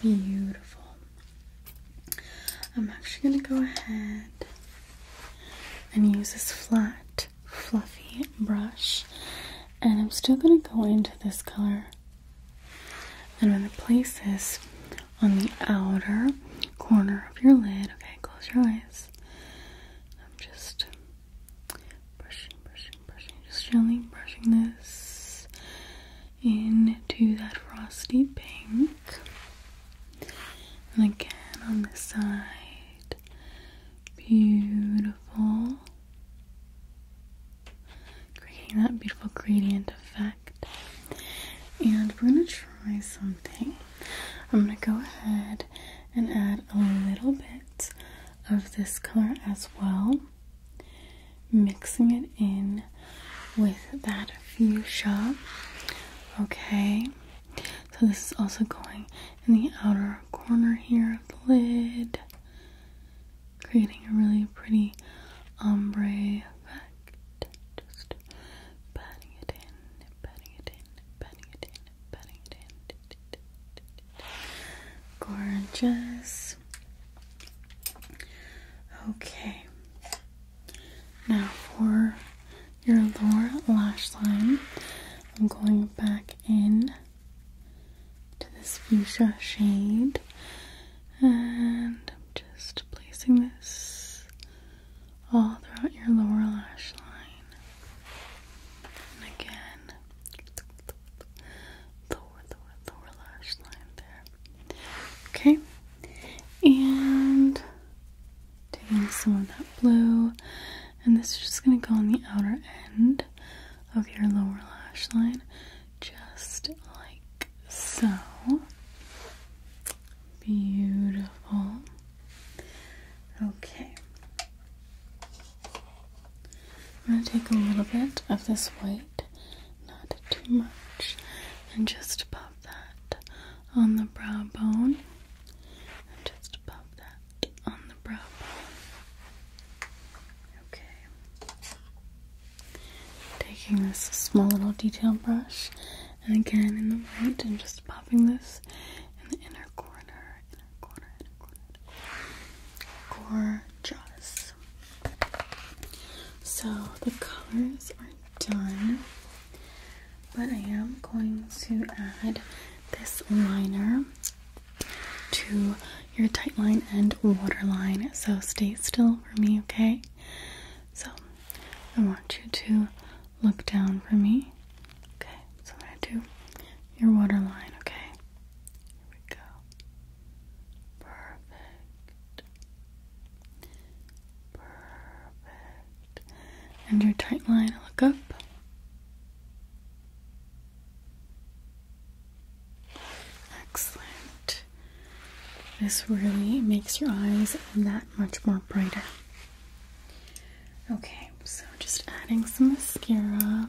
Beautiful. I'm actually going to go ahead and use this flat, fluffy brush, and I'm still going to go into this color. And I'm going to place this on the outer corner of your lid. Okay, close your eyes. I'm just Brushing, brushing, brushing, just gently brushing this into that frosty pink. And again on this side. Beautiful. Creating that beautiful gradient effect. And we're gonna try something. I'm gonna go ahead and add a little bit of this color as well, mixing it in with that fuchsia. Okay, so this is also going in the outer corner here of the lid, creating a really pretty ombre effect. Just patting it in, patting it in, patting it in. Gorgeous. Okay. Now for your lower lash line, I'm going back in to this fuchsia shade and I'm just placing this all throughout your lower lash line. And again, lower, lower, lower lash line there. Okay, and taking some of that blue, and this is just going to go on the outer end of your lower lash line, just like so. Beautiful. Okay. I'm going to take a little bit of this white, not too much, and just pop that on the brow bone. just pop that on the brow bone. Okay. Taking this small little detail brush, and again in the white, and just popping this in the inner corner Gorgeous. So the colors are done, but I am going to add this liner to your tight line and waterline. So stay still for me, okay? So I want you to look down for me. Okay, so I'm gonna do your waterline, okay? Here we go. Perfect. Perfect. And your tight line, look up. Excellent. This really makes your eyes that much more brighter. Okay, so just adding some mascara.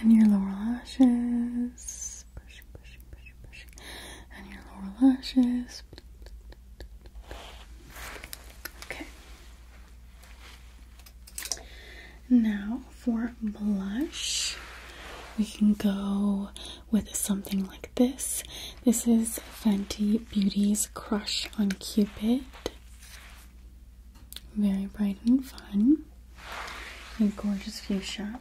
and your lower lashes. And your lower lashes. Okay. Now for blush, we can go with something like this. This is Fenty Beauty's Crush on Cupid. Very bright and fun. A gorgeous fuchsia.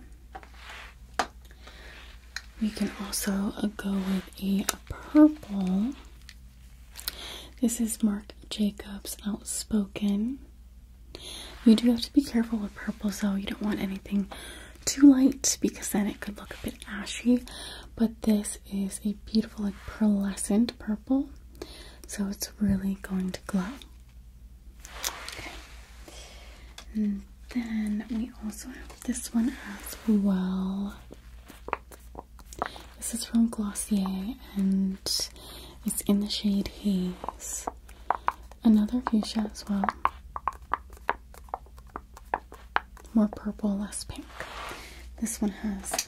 We can also uh, go with a, purple. This is Marc Jacobs Outspoken. You do have to be careful with purples though. You don't want anything too light because then it could look a bit ashy. But this is a beautiful like pearlescent purple so it's really going to glow. Okay. And then we also have this one as well. This is from Glossier and it's in the shade Haze. Another fuchsia as well. More purple, less pink. This one has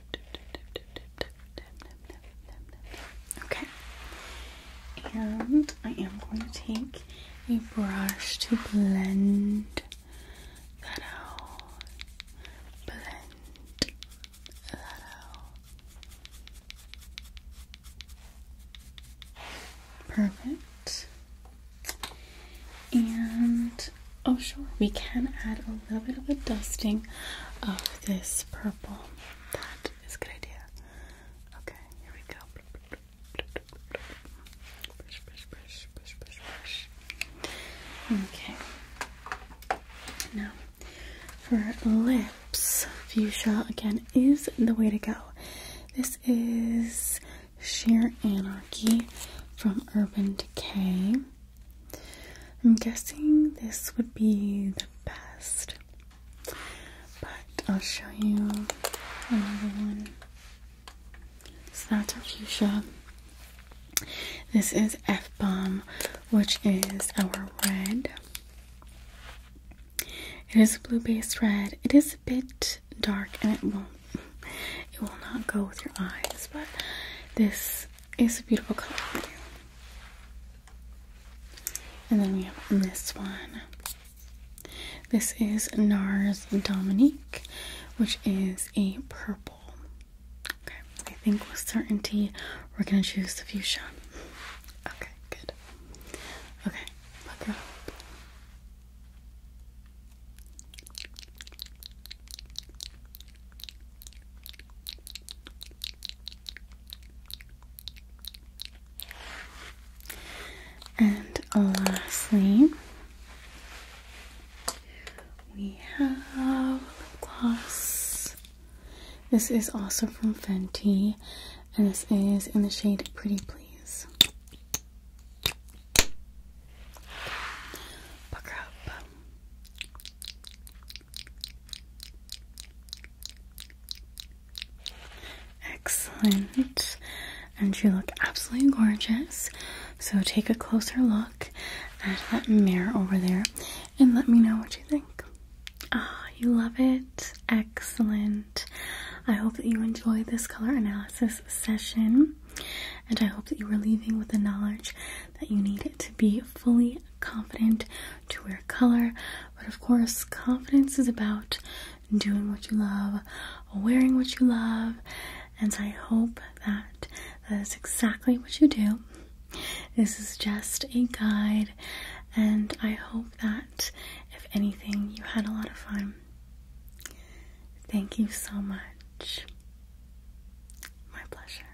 Okay. And I am going to take a brush to blend that out. Blend that out. Perfect. And oh, sure, we can add a little bit of a dusting of this purple. That is good idea. Okay, here we go. Okay. Now, for lips, fuchsia again is the way to go. This is Sheer Anarchy from Urban Decay. I'm guessing this would be the best, but I'll show you another one. So that's our fuchsia. This is F bomb, which is our red. It is a blue based red. It is a bit dark and it won't it will not go with your eyes, but this is a beautiful color for you. And then we have this one. This is NARS Dominique, which is a purple. Okay, I think with certainty we're gonna choose the fuchsia. Okay, good. Okay, look it up. And lastly, we have lip gloss. This is also from Fenty, and this is in the shade Pretty Please. Pucker up. Excellent. And you look absolutely gorgeous. So take a closer look at that mirror over there and let me know what you think. Ah, you love it. Excellent. I hope that you enjoyed this color analysis session and I hope that you were leaving with the knowledge that you need to be fully confident to wear color. But of course, confidence is about doing what you love, wearing what you love, and I hope that that is exactly what you do. This is just a guide, and I hope that if anything, you had a lot of fun. Thank you so much. My pleasure.